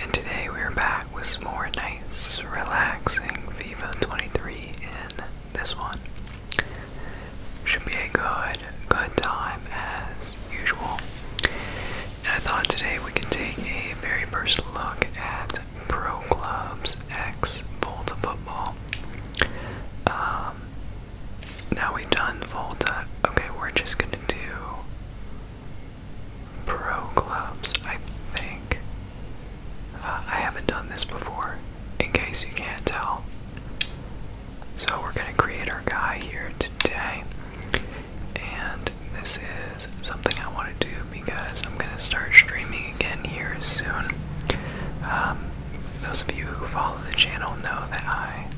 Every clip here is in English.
And today we're back with some more nice, relaxing FIFA 23 in this one. Should be a good, good time as usual. And I thought today we could take a very first look at Pro Clubs X Volta Football. Um, now we've done Volta. Okay, we're just gonna do Pro Clubs, I think. Uh, I haven't done this before, in case you can't tell. So we're going to create our guy here today. And this is something I want to do because I'm going to start streaming again here soon. Um, those of you who follow the channel know that I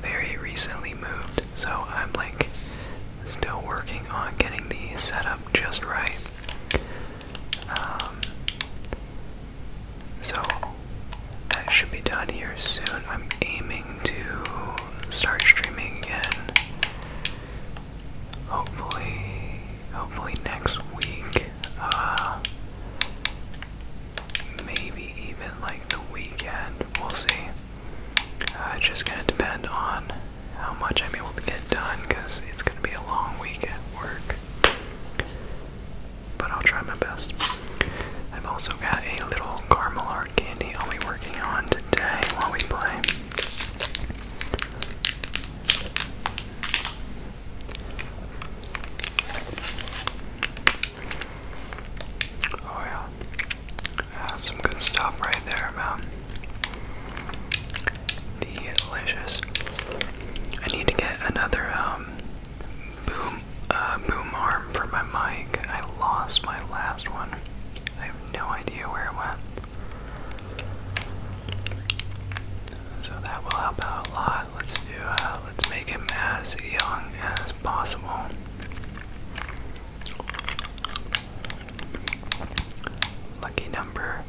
very recently moved, so I'm like still working on getting the setup just right. Um, so that should be done here soon. I'm aiming to start streaming again. Hopefully, hopefully next week. Uh, maybe even like the weekend. We'll see. Uh, it's just gonna depend on how much I'm able to get done because it's gonna be a long week at work. But I'll try my best. I've also got a little caramel art candy I'll be working on today while we play. Oh, yeah. Uh, some good stuff right there, man. Delicious. I need to get another um, boom uh, boom arm for my mic. I lost my last one. I have no idea where it went. So that will help out a lot. Let's do uh, let's make him as young possible. Lucky number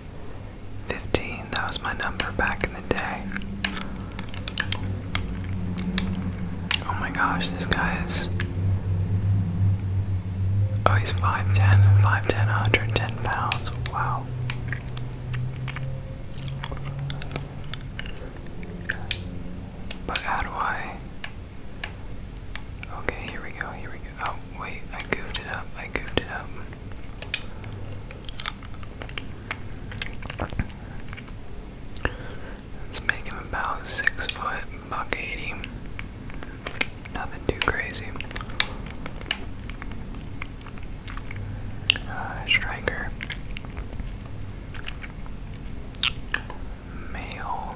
15, that was my number back in the day. Oh my gosh, this guy is. Oh, he's 5'10, pounds. Wow. But how do I? Okay, here we go, here we go. Oh, wait, I goofed it up, I goofed it up. Let's make him about six foot, buck eighty. Nothing too crazy. Uh, striker. Male.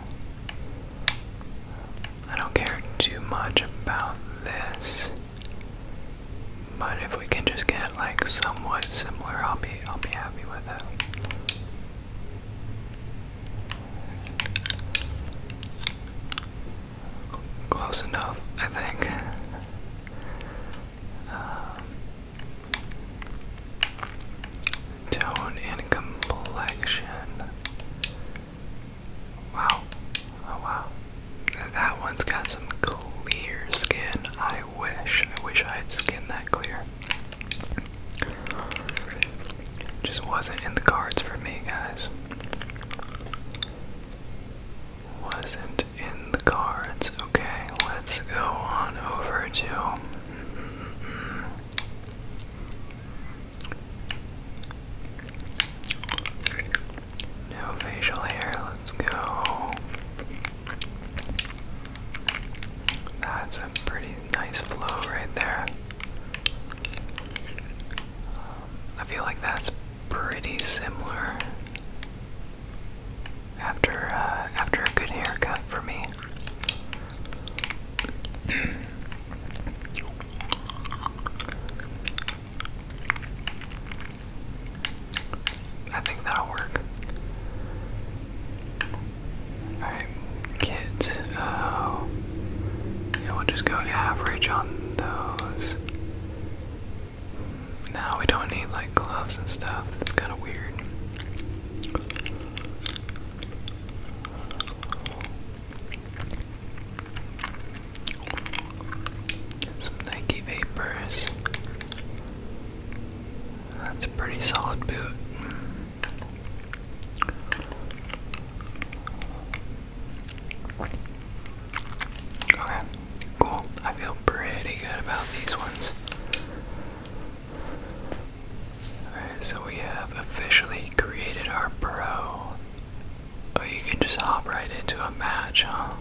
I don't care too much about this, but if we can just get like somewhat similar, I'll be I'll be happy with it. Close enough, I think. Um, tone and complexion. Wow. Oh wow. That one's got some clear skin. I wish. I wish I had skin that clear. Just wasn't in the cards for me, guys. Wasn't in the cards. Okay, let's go on over to no facial hair, let's go. That's a pretty nice flow right there. I feel like that's pretty similar after uh, after a good haircut for me. I think that'll work. Alright, kids. Uh, we'll just go average on those. Now we don't need like gloves and stuff. That's kind of weird. Some Nike Vapors. That's a pretty solid boot. Okay, cool. I feel pretty good about these ones. Alright, so we have officially created our pro. Oh, you can just hop right into a match, huh?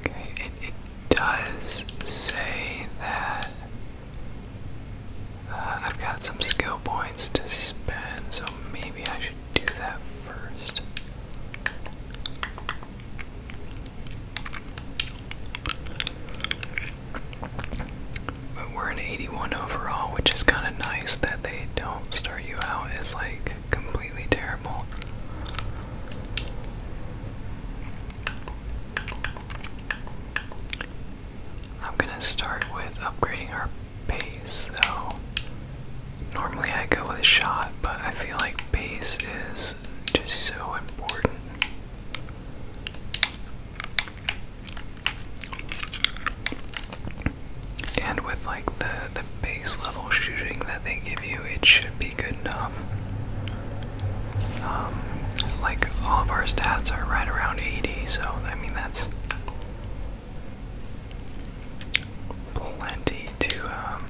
Okay, it, it does say that uh, I've got some skill points to spend, so maybe I should do that first. But we're an 81 overall, which is kind of nice that they don't start you out as like completely terrible. I'm gonna start with upgrading our base bass Normally I go with a shot, but I feel like base is just so important. And with like the the base level shooting that they give you, it should be good enough. Um, like all of our stats are right around 80, so I mean that's plenty to um,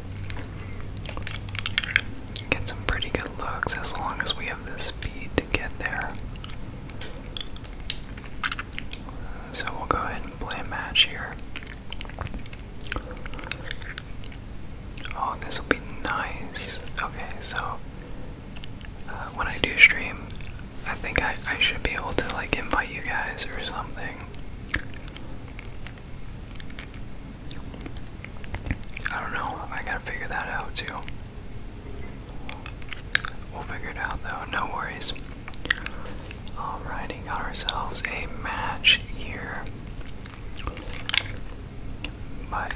get some pretty good looks as long as we have the speed to get there. So we'll go ahead and play a match here. Oh, this will be nice. Okay, so uh, when I do stream, I think I, I should be able to like invite you guys or something. I don't know. I gotta figure that out too. We'll figure it out though, no worries. Alrighty, got ourselves a match here. But,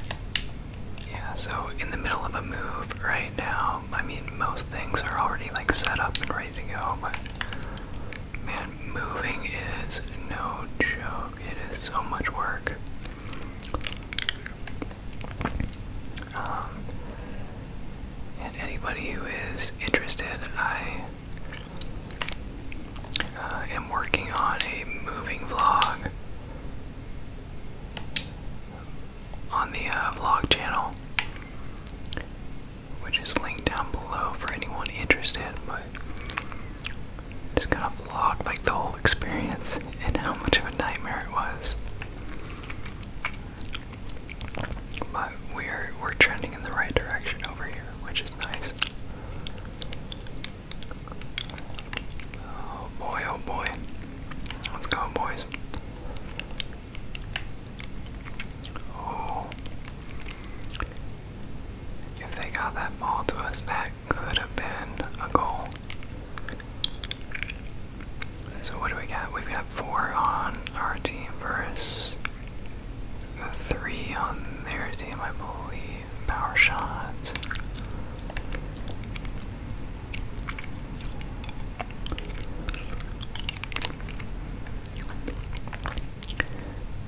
yeah, so in the middle of a move right now, I mean, most things are already like set up and ready to go, but Man, moving is no joke. It is so much work. Um, and anybody who is interested, I uh, am working on a moving vlog on the uh, vlog channel which is linked down below for anyone interested, but just kind of vlog like the whole experience and how much of a nightmare it was. But we're we're trending in the right direction over here, which is nice. Oh boy, oh boy. Let's go boys. Oh. If they got that ball to us, that could have been a goal. So what do we got? We've got four on our team versus three on their team, I believe. Power shots.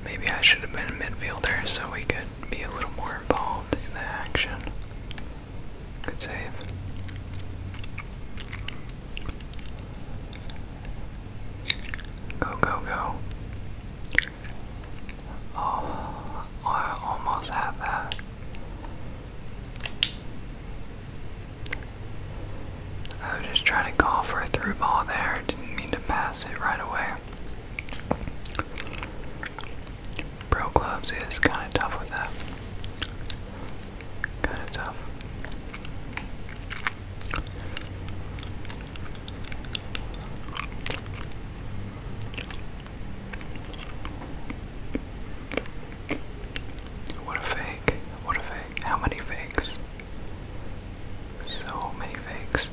Maybe I should have been a midfielder so we could be a little more involved in the action. Good save. Go, go, go. Oh, I almost had that. I was just trying to call for a through ball there. Didn't mean to pass it right away. Pro clubs is kind of tough with that. Kind of tough. What a fake. What a fake. How many fakes? So many fakes.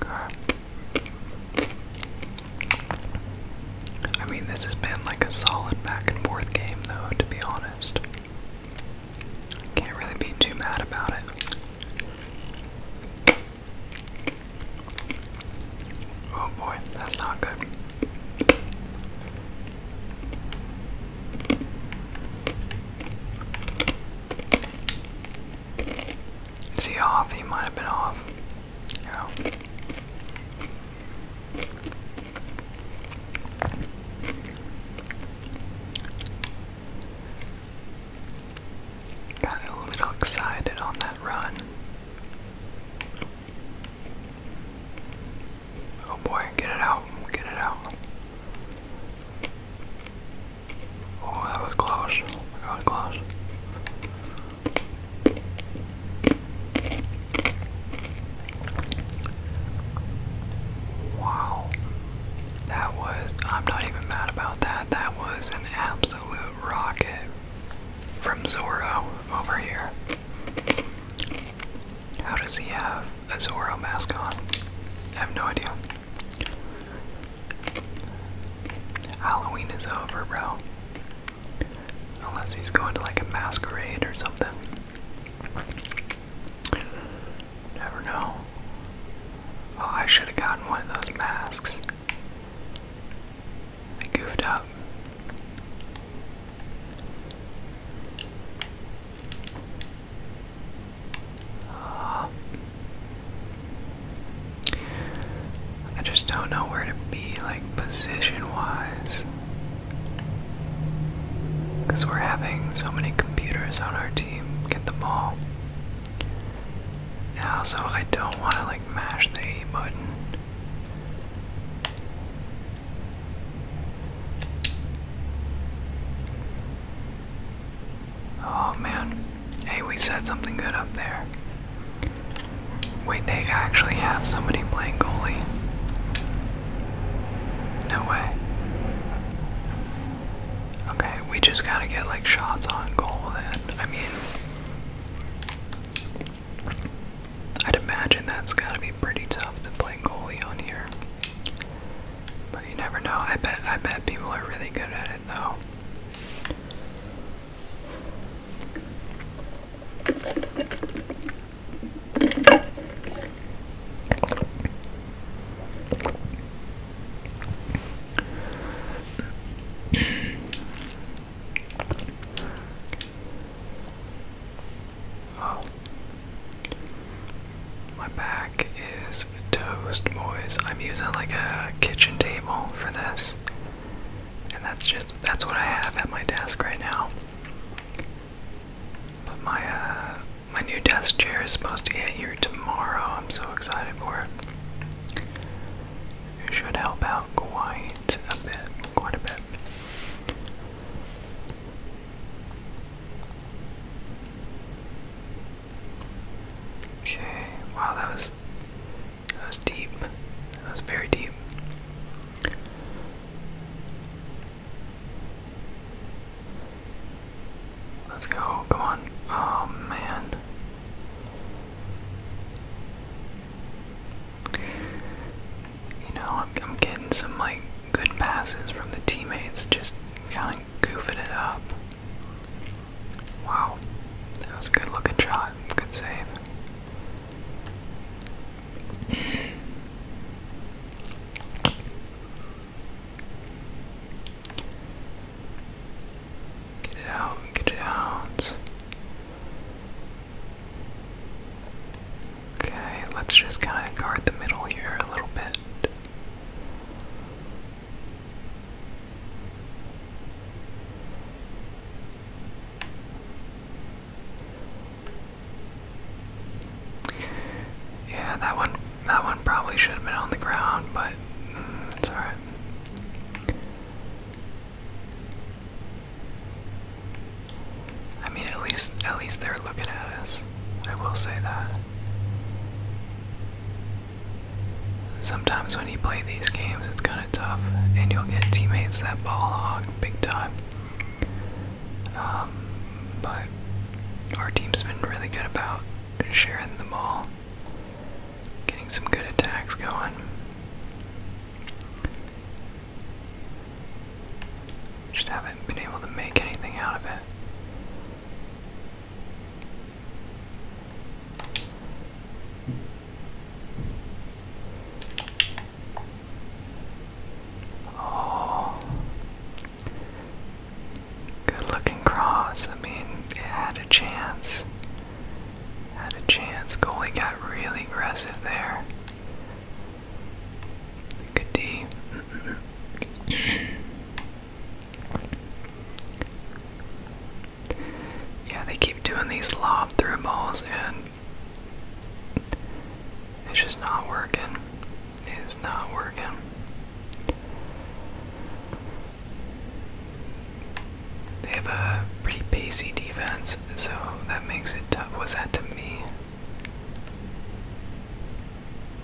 God. I mean, this has been like a solid back and forth game, though, to be honest. Can't really be too mad about it. Oh boy, that's not good. Is he off? He might have been off. Got a little excited on that run. Oh boy, get it out, get it out. Oh, that was close. That close. Wow. That was, I'm not even mad about that. That was an absolute rocket from Zorro over here. How does he have a Zoro mask on? I have no idea. Halloween is over, bro. Unless he's going to like a masquerade or something. Never know. Oh, I should have gotten one of those masks. I goofed up. Uh, I just don't know where to be, like, position wise. Because we're having so many computers on our team get the ball. And also, I don't want to, like, mash the A button. Oh man. Hey, we said something good up there. Wait, they actually have somebody playing goalie. No way. Okay, we just gotta get like shots on goal then. I mean, I'd imagine that's gotta be pretty tough to play goalie on here. But you never know. I bet I bet people are really good at it though oh. My back is toast, boys. I'm using like a kitchen table for this. And that's just that's what I have at my desk right now. But my uh, my new desk chair is supposed to get here tomorrow. I'm so excited for it. It should help out quite a bit, quite a bit. Okay. Wow, that was that was deep. That was very deep. Let's go. Come on. Oh, man. You know, I'm getting some, like, good passes from the teammates, just kind of goofing it up. Wow, that was a good looking shot. Good save. Get it out, get it out. Okay, let's just kind of guard the middle here a little bit. Yeah, that one that one probably should have been on the ground, but mm, it's all right. I mean, at least at least they're looking at us. I will say that. Sometimes when you play these games, it's kind of tough, and you'll get teammates that ball hog big time. Um, but our team's been really good about sharing the ball, getting some good attacks going. Just haven't been able to make anything out of it. Oh. Good looking cross. I mean, it had a chance. Had a chance. Goalie got really aggressive there. Good D yeah, they keep doing these lob through balls and it's just not working. It's not working. They have a pretty pacey defense, so that makes it tough. Was that to me?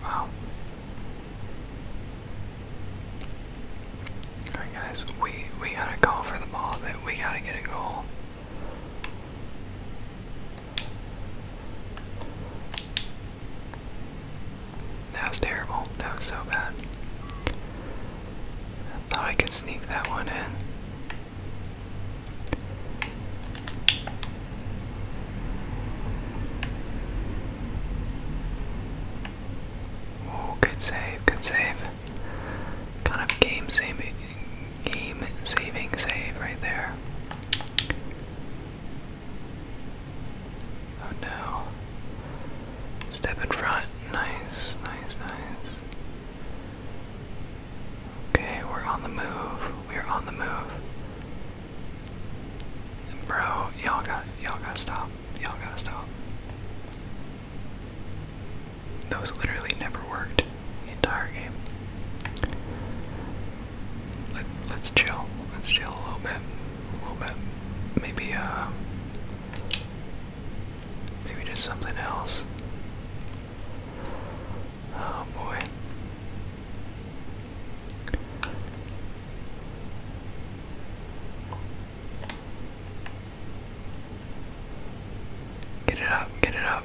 Wow. Alright guys, we we gotta call for the ball but we gotta get a goal. That was terrible. That was so bad. I thought I could sneak that one in. Oh, good save, good save. Kind of game saving, game saving save right there. Oh no. Step in front. Nice, nice, nice. Okay, we're on the move. We're on the move. Bro, y'all got y'all gotta stop. Y'all gotta stop. Those literally never worked the entire game. Let, let's chill. Let's chill a little bit. A little bit. Maybe, uh. Maybe just something else. Oh boy. Get it up, get it up.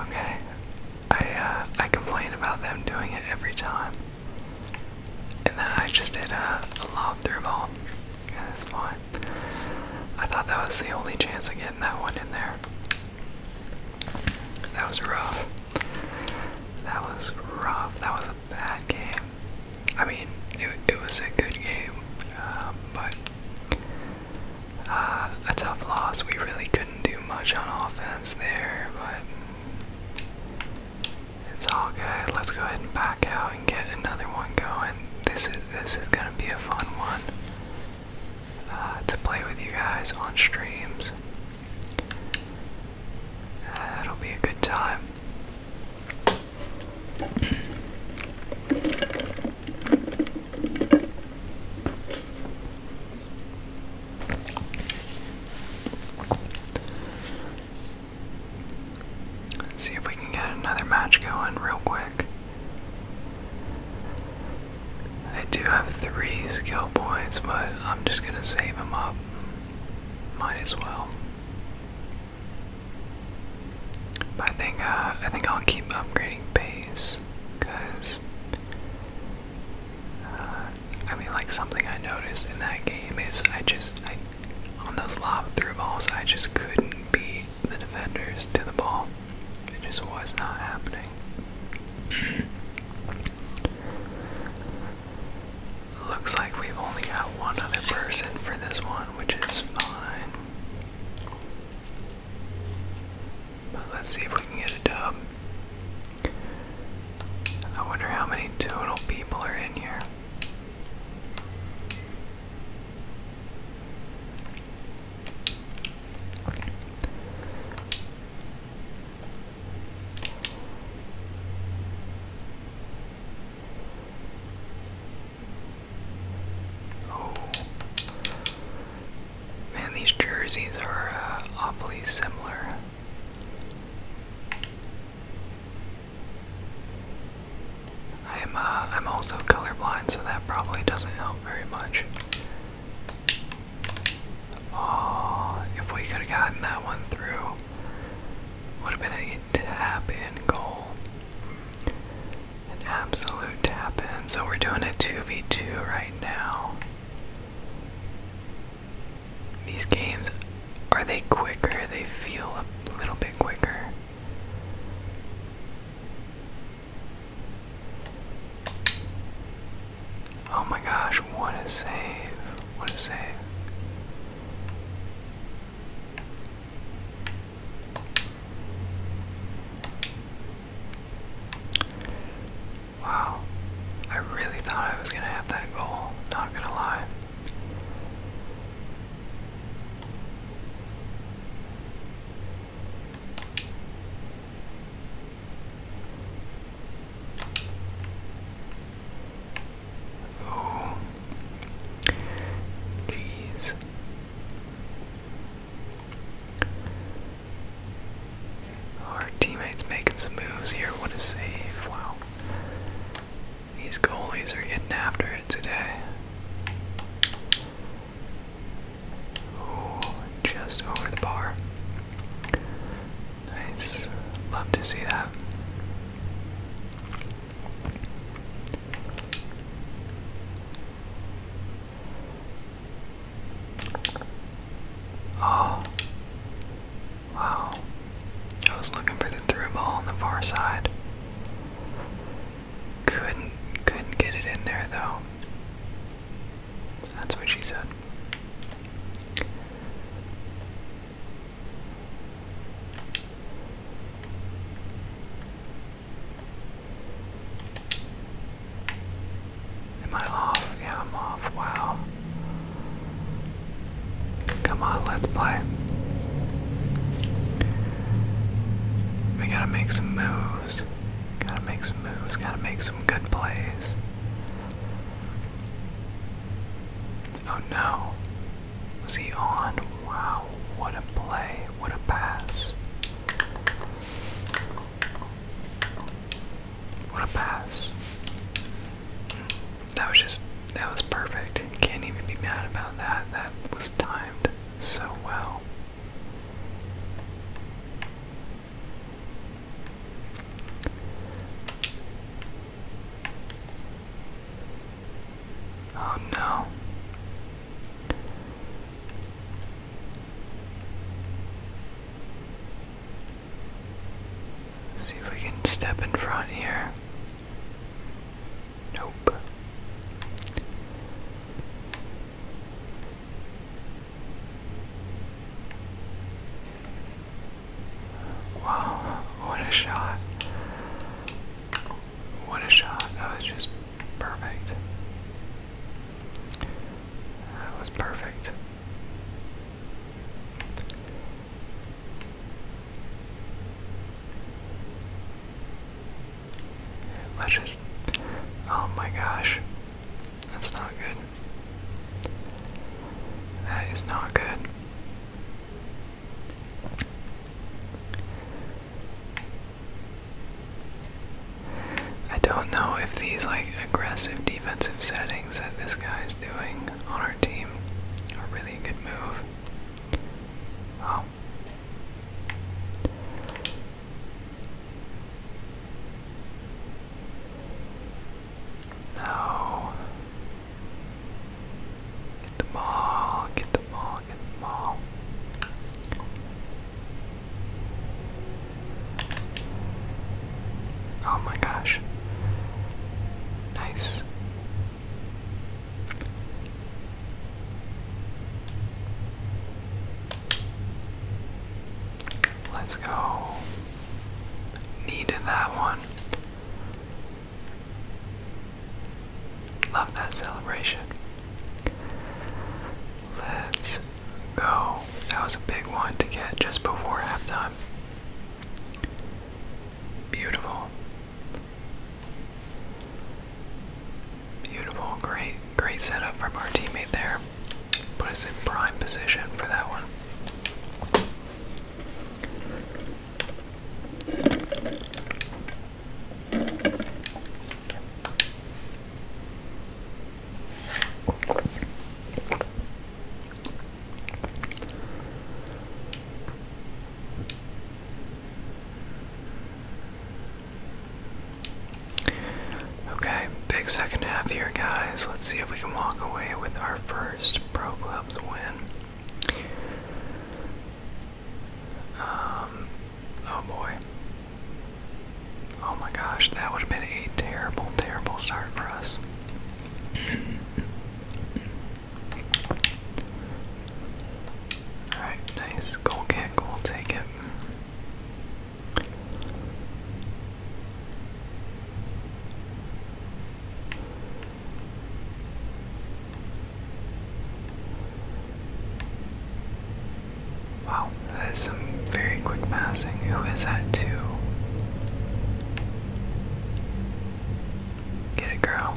Okay. I uh I complain about them doing it every time. And then I just did a, lob through ball. Yeah, that's fine. I thought that was the only chance of getting that one in there. That was rough. That was rough. That was a bad game. I mean, it, it was a good game, um, but uh, a tough loss. We really couldn't do much on offense there, but it's all good. Let's go ahead and back out and get another one going. This is this is gonna be a fun one uh, to play with you guys on streams. Uh, it'll be a good time. see if we can get another match going real quick. I do have three skill points, but I'm just gonna save them up. Might as well. I think uh, I think I'll keep upgrading base, cause uh, I mean, like something I noticed in that game is I just I, on those lava through balls I just couldn't beat the defenders to the ball. It just was not happening. Looks like we've only got one other person for this one, which is fine. But let's see if we can get a dub. I wonder how many total people are in here. Oh. Man, these jerseys are uh, awfully similar. I'm uh, I'm also colorblind, so that probably doesn't help very much. Oh, if we could have gotten that one through, would have been a tap in goal. An absolute tap in. So we're doing a 2v2 right now. These games, are they quicker? They feel a little bit quicker. Oh my gosh, what a save! What a save! Wow, I really thought I was gonna have that goal, not gonna lie. Oh, jeez. Our teammates making some moves here. What a save! Wow. These goalies are getting after it today just over the bar. Nice. Love to see that. Oh. Wow. I was looking for the through ball on the far side. Couldn't couldn't get it in there though. That's what she said. Am I off? Yeah, I'm off. Wow. Come on, let's play. We gotta make some moves. Gotta make some moves, gotta make some good plays. Oh no. Was he on? Wow, what a play, what a pass. What a pass. Hmm, that was just, that was perfect. Can't even be mad about that. That was timed so well. Oh no. see if we can step in front here. Nope. Wow, what a shot. What a shot. That was just perfect. That was perfect. Let's just. Oh my gosh. That's not good. That is not good. I don't know if these like aggressive defensive settings that this guy doing on our team are really a good move. Oh. No. Get them all, get them all, get them all. Oh my gosh. Nice. Let's go. Needed that one. Love that celebration. Let's go. That was a big one to get just before halftime. Beautiful. Beautiful, great Great setup from our teammate there. Put us in prime position for that one. Okay, big second half here, guys. Let's see if we can walk away with our first Pro Clubs win. Um, oh boy. Oh my gosh, that would have been a terrible, terrible start for us. Alright, nice. Goal kick, we take it. Wow, that is some very quick passing. Who is that too? Get it, girl.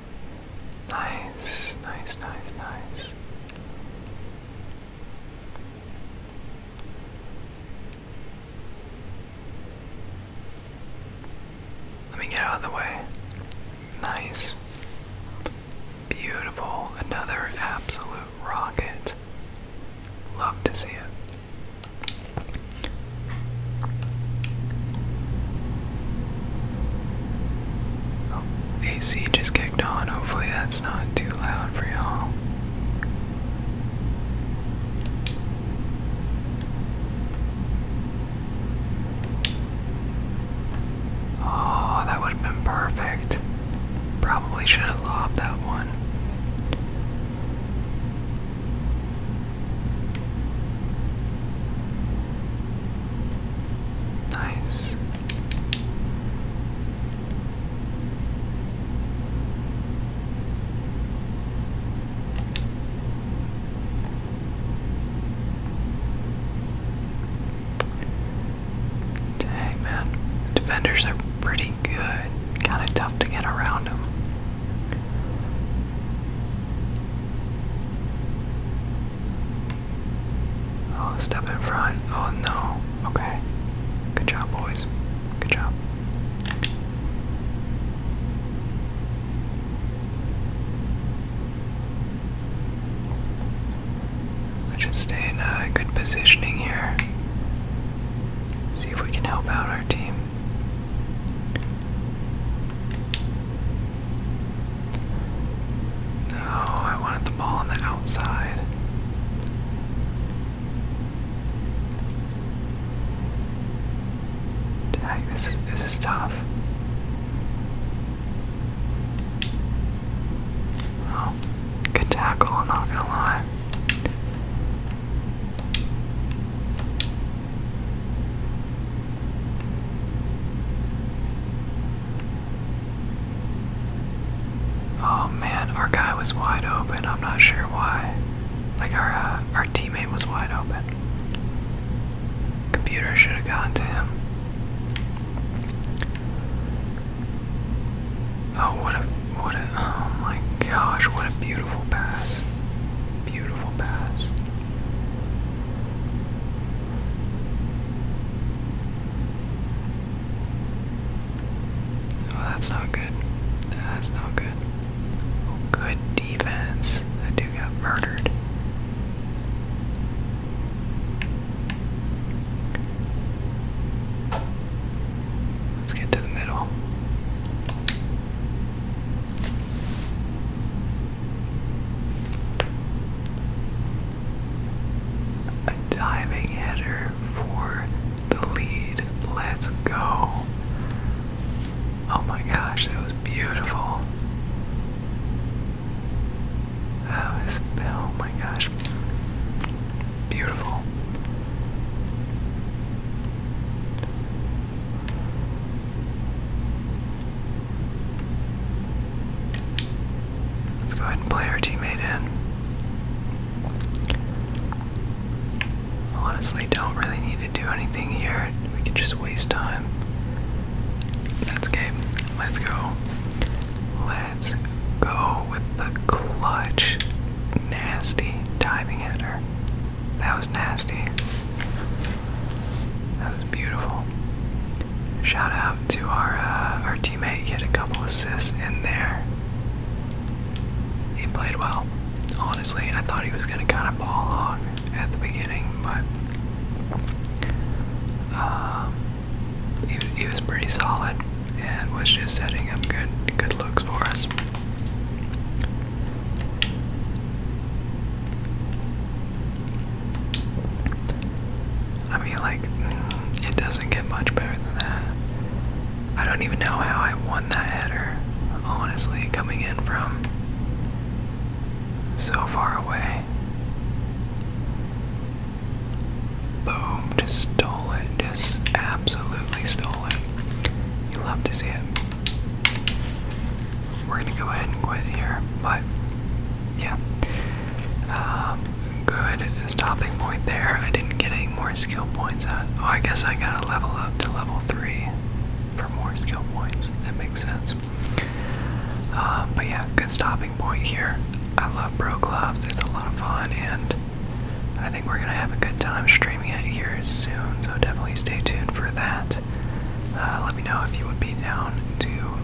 Nice, nice, nice, nice. Let me get out of the way. Nice. Beautiful. Another absolute rocket. Love to see it. Oh, AC just kicked on. Hopefully, that's not too loud for y'all. Oh, that would have been perfect. Probably should have lobbed that one. Nice. Dang, Defenders are pretty good. Kind of tough to get around them. Oh, step in front. Oh no. Okay. Good job, boys. Good job. just stay good positioning here. See if we can help out our team. No, I wanted the ball on the outside. Dang, this is this is tough. Oh, good tackle, I'm not gonna lie. Oh man, our guy was wide open. I'm not sure why. Like our uh, our teammate was wide open. Computer should have gone to him. Oh what a what a oh my gosh, what a beautiful pass. Beautiful pass. Oh, that's not good. That's not good. good defense. That dude got murdered. Let's get to the middle. A diving header for the lead. Let's go. Oh my gosh, that was beautiful. That was, oh my gosh. Beautiful. Let's go ahead and play our teammate in. Honestly, don't really need to do anything here. We can just waste time. That's game. Let's go. Let's go with the clutch. Nasty diving header. That was nasty. That was beautiful. Shout out to our uh, our teammate. He had a couple assists in there. He played well. Honestly, I thought he was gonna kind of ball hog at the beginning, but um, he, he was pretty solid and was just setting up good good looks for us. I mean, like, mm, it doesn't get much better than that. I don't even know how I won that header, honestly, coming in from so far away. Boom, just stole it, just absolutely stole it. You love to see it we're gonna go ahead and quit here. But yeah, um, good stopping point there. I didn't get any more skill points. Out. Oh, I guess I gotta level up to level three for more skill points. That makes sense. Uh, but yeah, good stopping point here. I love pro Clubs. It's a lot of fun, and I think we're gonna have a good time streaming it here soon. So definitely stay tuned for that. Uh, let me know if you would be down to